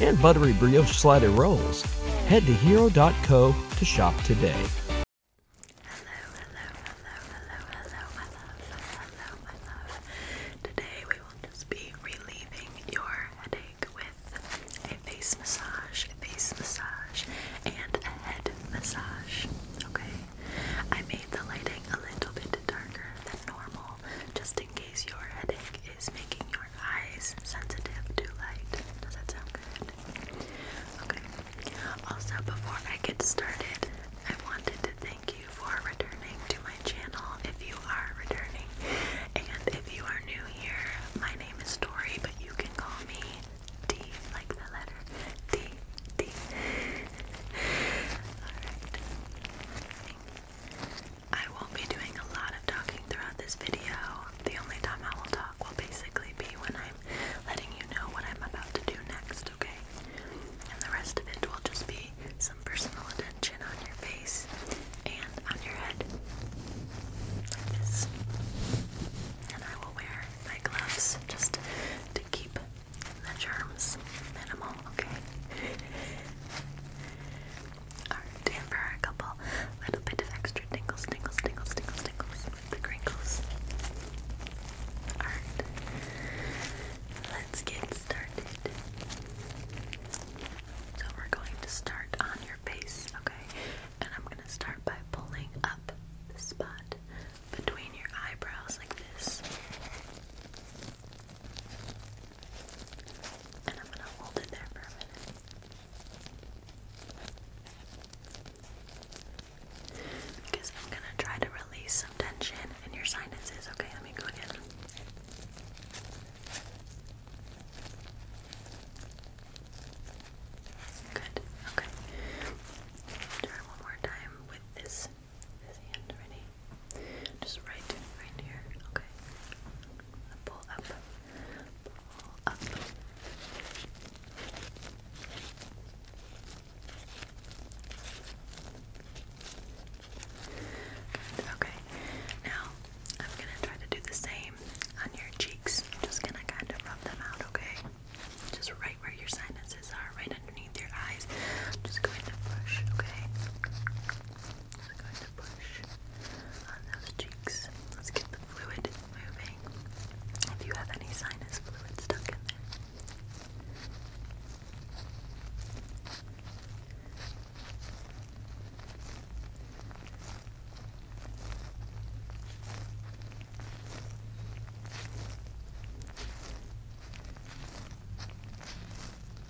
and buttery brioche slider rolls. Head to hero.co to shop today. Hello, hello, hello, hello, hello, hello, hello, my Today we will just be relieving your headache with a face massage, face massage, and a head massage. Okay? I made the lighting a little bit darker than normal just in case your headache is making your eyes sensitive to light. Does that sound good? Okay. Also, before I get started, I wanted to thank you for returning to my channel if you are returning. And if you are new here, my name is Tori, but you can call me D, like the letter D. D. Alright. I won't be doing a lot of talking throughout this video. The only time I will talk will basically be when I'm letting you know what I'm about to do next, okay? And the rest of it will just be some personal attention on your face and on your head. Like this. And I will wear my gloves just to keep the germs minimal, okay? for a couple little bit of extra tingles, tingles, tingles, tingles, tingles the crinkles. Alright, let's get started. So we're going to start on your face, okay? And I'm going to start by pulling up the spot between your eyebrows like this. And I'm going to hold it there for a minute. Because I'm gonna try to release some tension in your sinuses. Okay, let me go again. Good. Okay. Try one more time with this this hand. Ready? Just right, right here. Okay. Pull up okay. Now I'm gonna try to do the same on your cheeks. I'm just gonna kind of rub them out, okay? Just right where your sinuses are, right underneath your eyes. just going to brush, okay? to push on those cheeks. Let's get the fluid moving. If you have any sinus fluid stuck in there.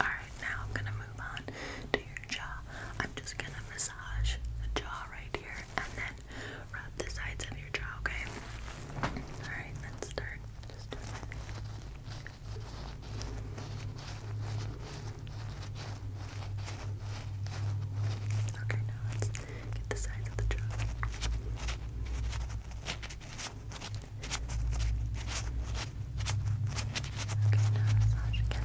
Alright, now I'm gonna move on to your jaw. I'm just gonna massage the jaw right here and then rub the sides of your jaw, okay? Alright, let's start. Okay, now get the sides of the jaw. Okay, now massage again.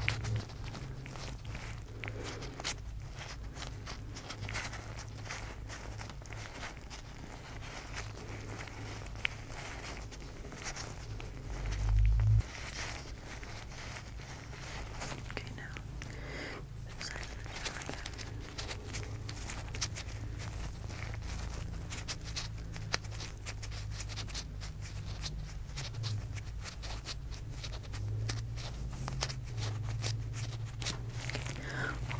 Okay, now. Side of the jaw again. One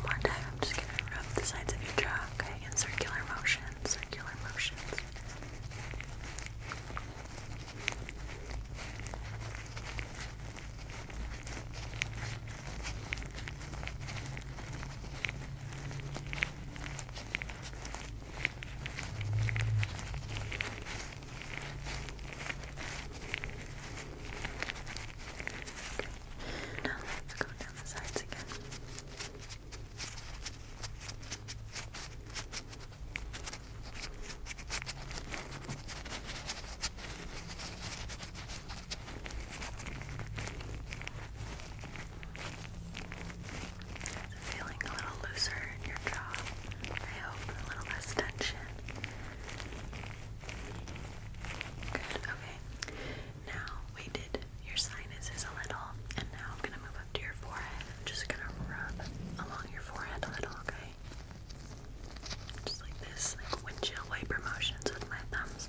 more time, I'm just going to rub the sides of your jaw, okay? In circular motion, circular motions. Now let's go down the sides again. Okay. Feeling a little looser in your jaw, I hope, a little less tension. Good, okay. Now we did your sinuses a little, and now I'm gonna move up to your forehead. I'm just gonna rub along your forehead a little, okay? Just like this, windshield wiper motions with my thumbs.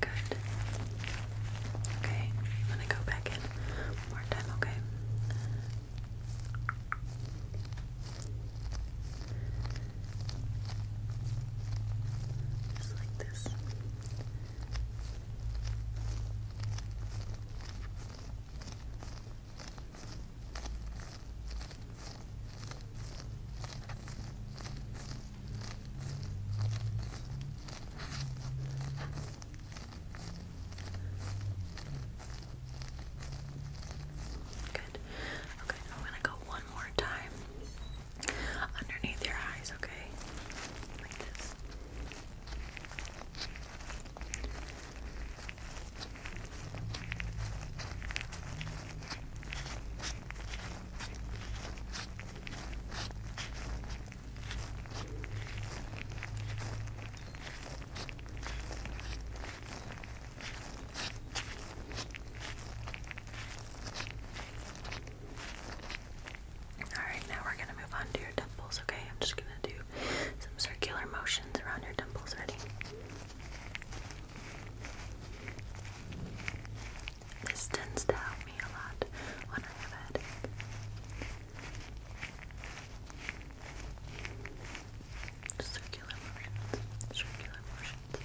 Good. Okay, I'm to go back in one more time, okay? Just like this. Good. Okay, I'm gonna go one more time underneath your eyes, okay? Like this. Alright, now we're going to move on to your temples, okay? I'm just going to do some circular motions around your temples. Ready? This tends to help me a lot when I have a headache. Circular motions, circular motions.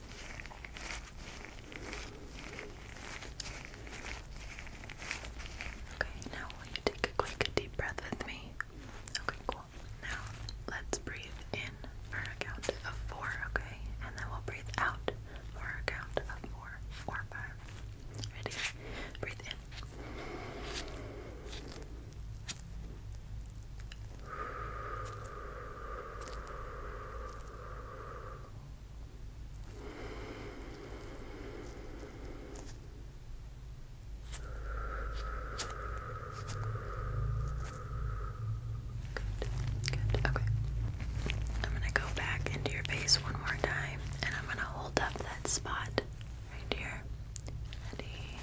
Okay, now will you take a quick deep breath with me? Okay, cool. Now let's breathe in for a count of four, okay? And then we'll breathe out for a count of four Ready? Breathe in. Good, good, okay. I'm gonna go back into your face one more time and I'm gonna hold up that spot right here. Ready?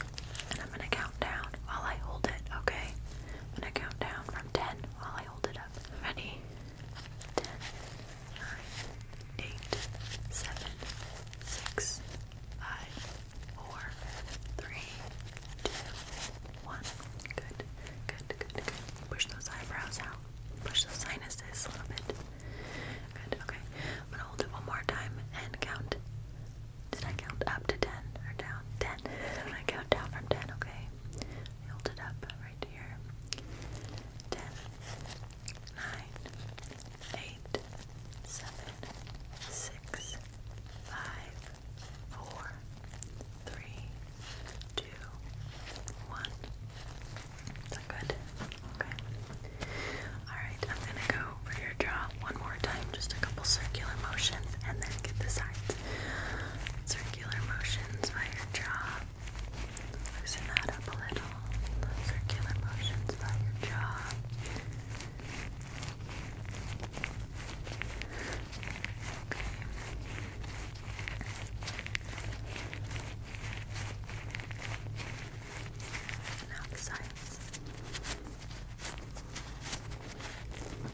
And I'm gonna count down while I hold it, okay? I'm gonna count down from 10 while I hold it up. Ready? ten, nine, eight, seven, six, five, four, three, two, one. Good, good, good, good. Push those eyebrows out. Push those sinuses a little bit. Good, okay. I'm gonna hold it one more time and count. Did I count up to ten or down? Ten. count down from ten, okay? held it up right here. Ten, nine, eight, seven, six, five, four, three, two, one. that good? Okay. Alright, I'm gonna go over your jaw one more time, just a couple circular motions, and then get the sides. Circular motions by your jaw. Loosen that up a little. Circular motions by your jaw. Okay. Now the sides. Okay,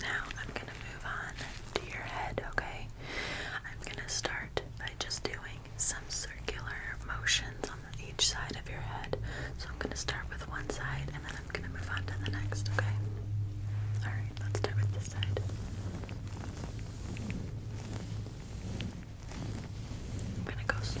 now I'm going to move on to your head, okay? I'm going to start by just doing some circular motions each side of your head. So I'm going to start with one side and then I'm going to move on to the next, okay? Alright, let's start with this side. I'm going to go slow,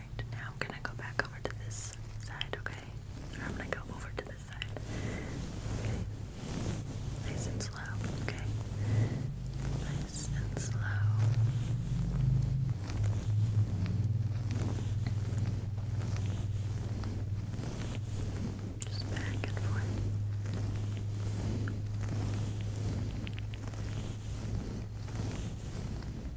now I'm gonna go back over to this side, okay? I'm gonna go over to this side. Okay. Nice and slow, okay? Nice and slow. Just back and forth.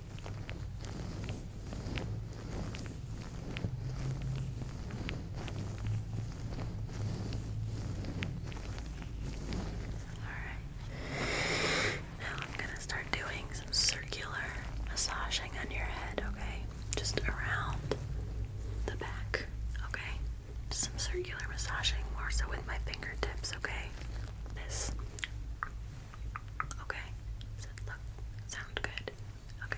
Now I'm going to start doing some circular massaging on your head, okay? Just around the back, okay? Just some circular massaging, more so with my fingertips, okay? This Okay. look sound good? Okay.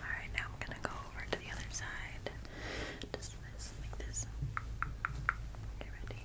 Alright, now I'm gonna go over to the other side. Just this, like this. Okay, ready? Okay,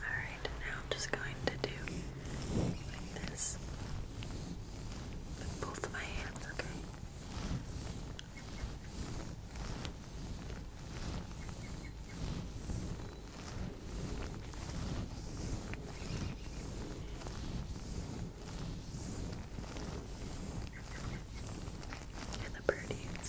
Alright, now I'm just going to do this with both of my hands, okay? And the birdies.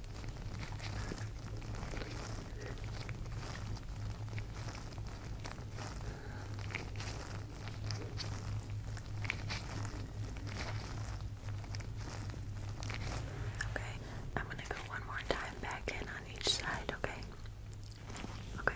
Okay, I'm going to go one more time back in on each side, okay? Okay.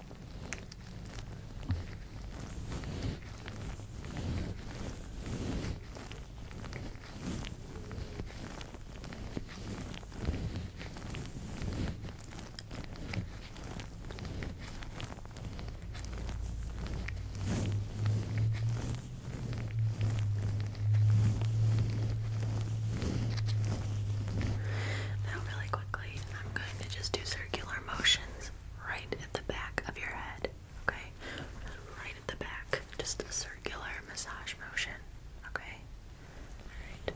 Now, really quickly, I'm going to just do circular motion right at the back of your head. Okay? right at the back. Just a circular massage motion. Okay? Alright.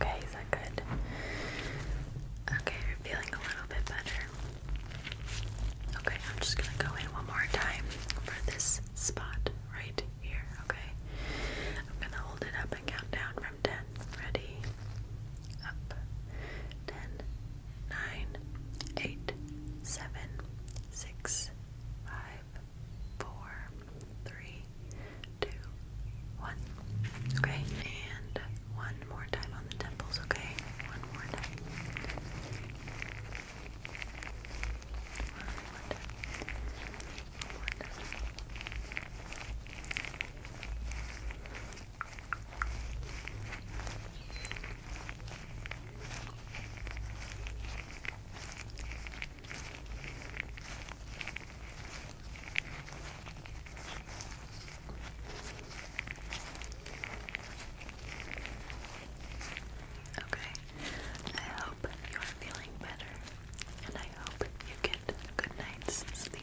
Okay, is that good? Okay, you're feeling a little bit better. Okay, I'm just gonna go in one more time for this spot right here, okay? I'm gonna hold it up and count down from 10. Ready? up. Ten, nine, eight, seven, six, five, four, three, two, one. Okay, and one more time on the temples, okay? One more time. One more time. One more time. Okay, I hope you are feeling better, and I hope you get good night's sleep.